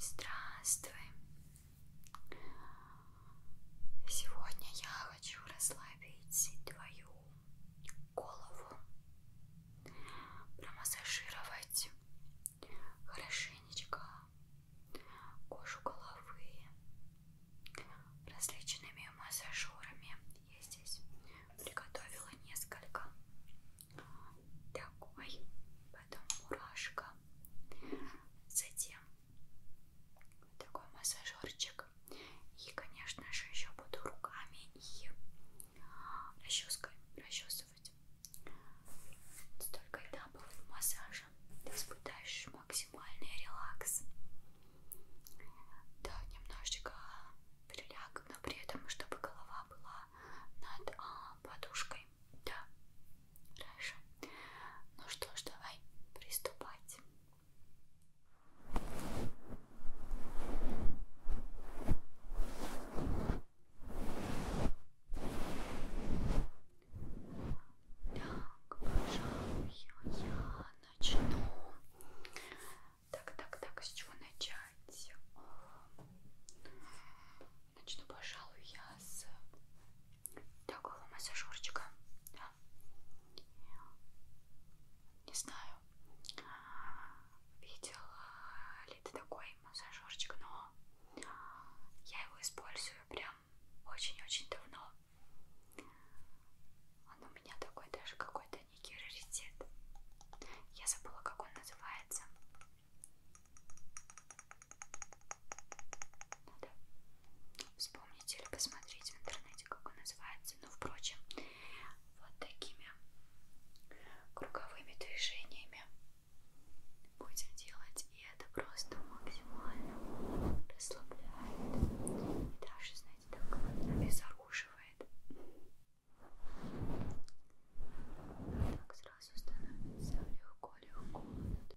Здравствуй! Сегодня я хочу расслабить твою голову, промассажировать хорошенечко кожу головы различными массажерами. Я здесь приготовила несколько такой, потом мурашка, затем вот такой массажерчик и, конечно же, еще буду руками и расческой расчесывать. Столько этапов массажа, ты испытаешь максимальный релакс. Да, немножечко приляг, но при этом, чтобы голова была над а, подушкой. Да, хорошо. Ну что ж, давай приступать. Так, пожалуй, я начну. Так, так, так, с чего начать? Значит, пожалуй, я с такого массажерчика. Да? Не знаю, видела ли ты такой массажерчик, но я его использую прям очень-очень давно. Он у меня такой даже какой-то некий раритет. Я забыла, как он называется. Надо вспомнить или посмотреть в интернете, как он называется. Но, ну, впрочем, вот такими круговыми движениями будем делать. И это просто максимально расслабляет. И даже, знаете, так обезоруживает. Так сразу становится легко-легко. Тихонько,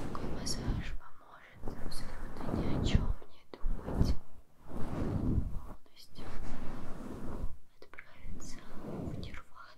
Такой массаж поможет абсолютно ни о чем не думать полностью отправиться в нирвану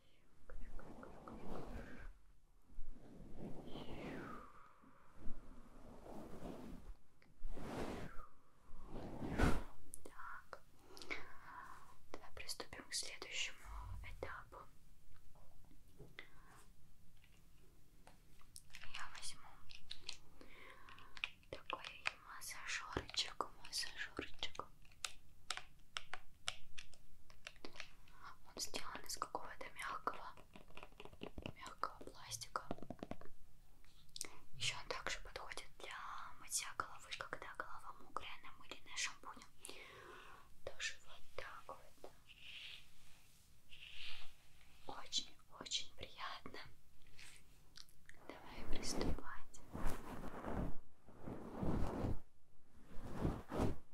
Так, давай приступим к следующему этапу. Я возьму такой массажерчик, массажерчик. Так. Он сделан из какого-то мягкого, мягкого пластика. Еще он также подходит для мытья головы, когда голова мокрая, намыленная шампунем. Тоже вот так вот. Очень-очень приятно. Давай приступать.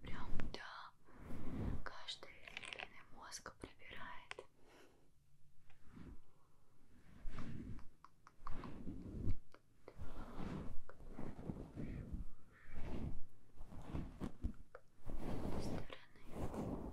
Прям да, каждый ребенок мозг пробирает. Так, стороны.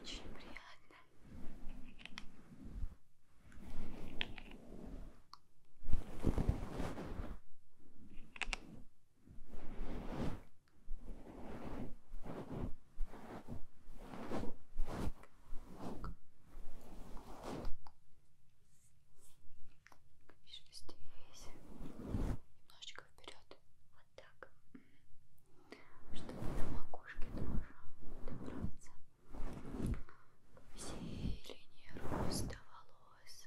Очень приятно. Немножечко немножечко вперед, вот так, чтобы на макушке тоже добраться. Все линии роста волос.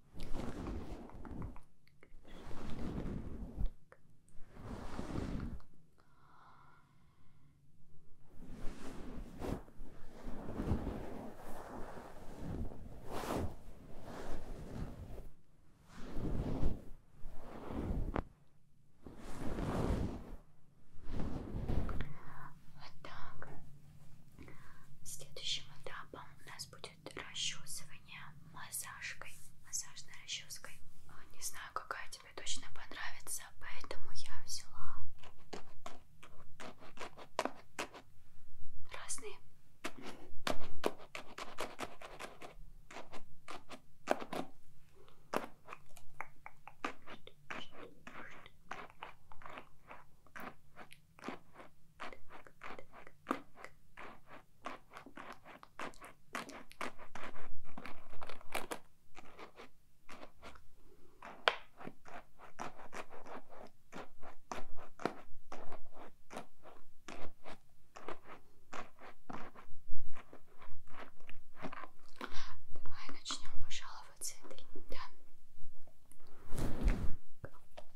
Вот так. Следующим этапом у нас будет будет расчесывание массажкой, массажной расческой. А, не знаю, какая тебе точно понравится, поэтому я взяла разные. Ой, Давай начнем, пожалуй, вот с этой, да.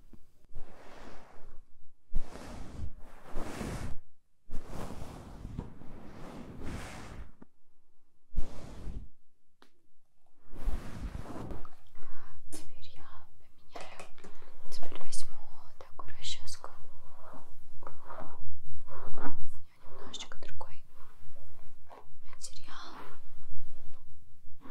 Теперь я поменяю. Теперь возьму такую расческу. У меня немножечко другой материал.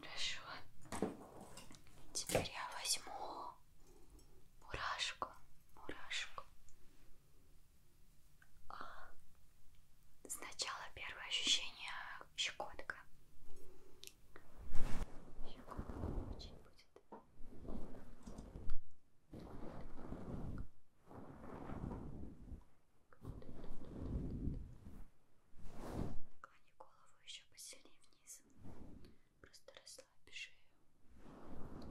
Хорошо. Теперь я возьму мурашку, мурашку, Сначала первое ощущение щекотка. Щекотка очень будет. Наклони голову еще посильнее вниз. Просто расслабь шею. Так, так.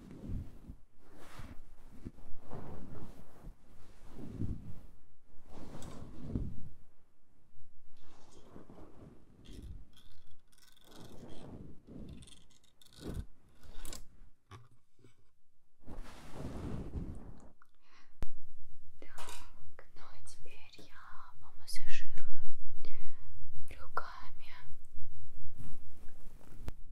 Так, ну а теперь я помассажирую руками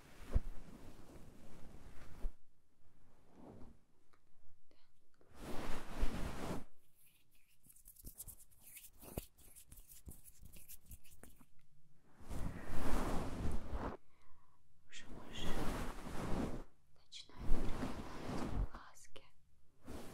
Уже больше начинают прикладывать глазки. Хорошо.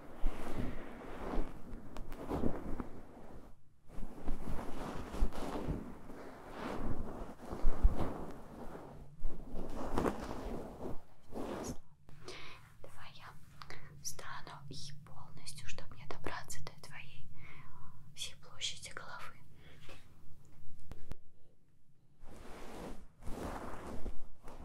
Давай я встану и полностью, чтобы мне добраться до твоей всей площади головы. Хорошо.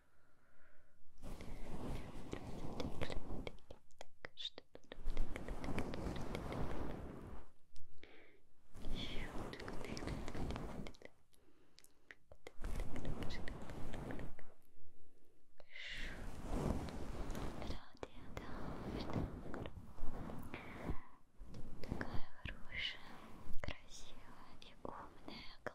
что тут Такая хорошая, красивая и умная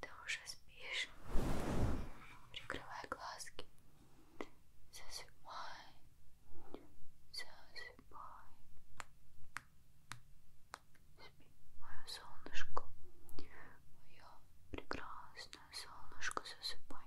Ты уже спишь. Прикрывай глазки. Засыпай. Засыпай. Спи, мое солнышко. Мое прекрасное солнышко, засыпай.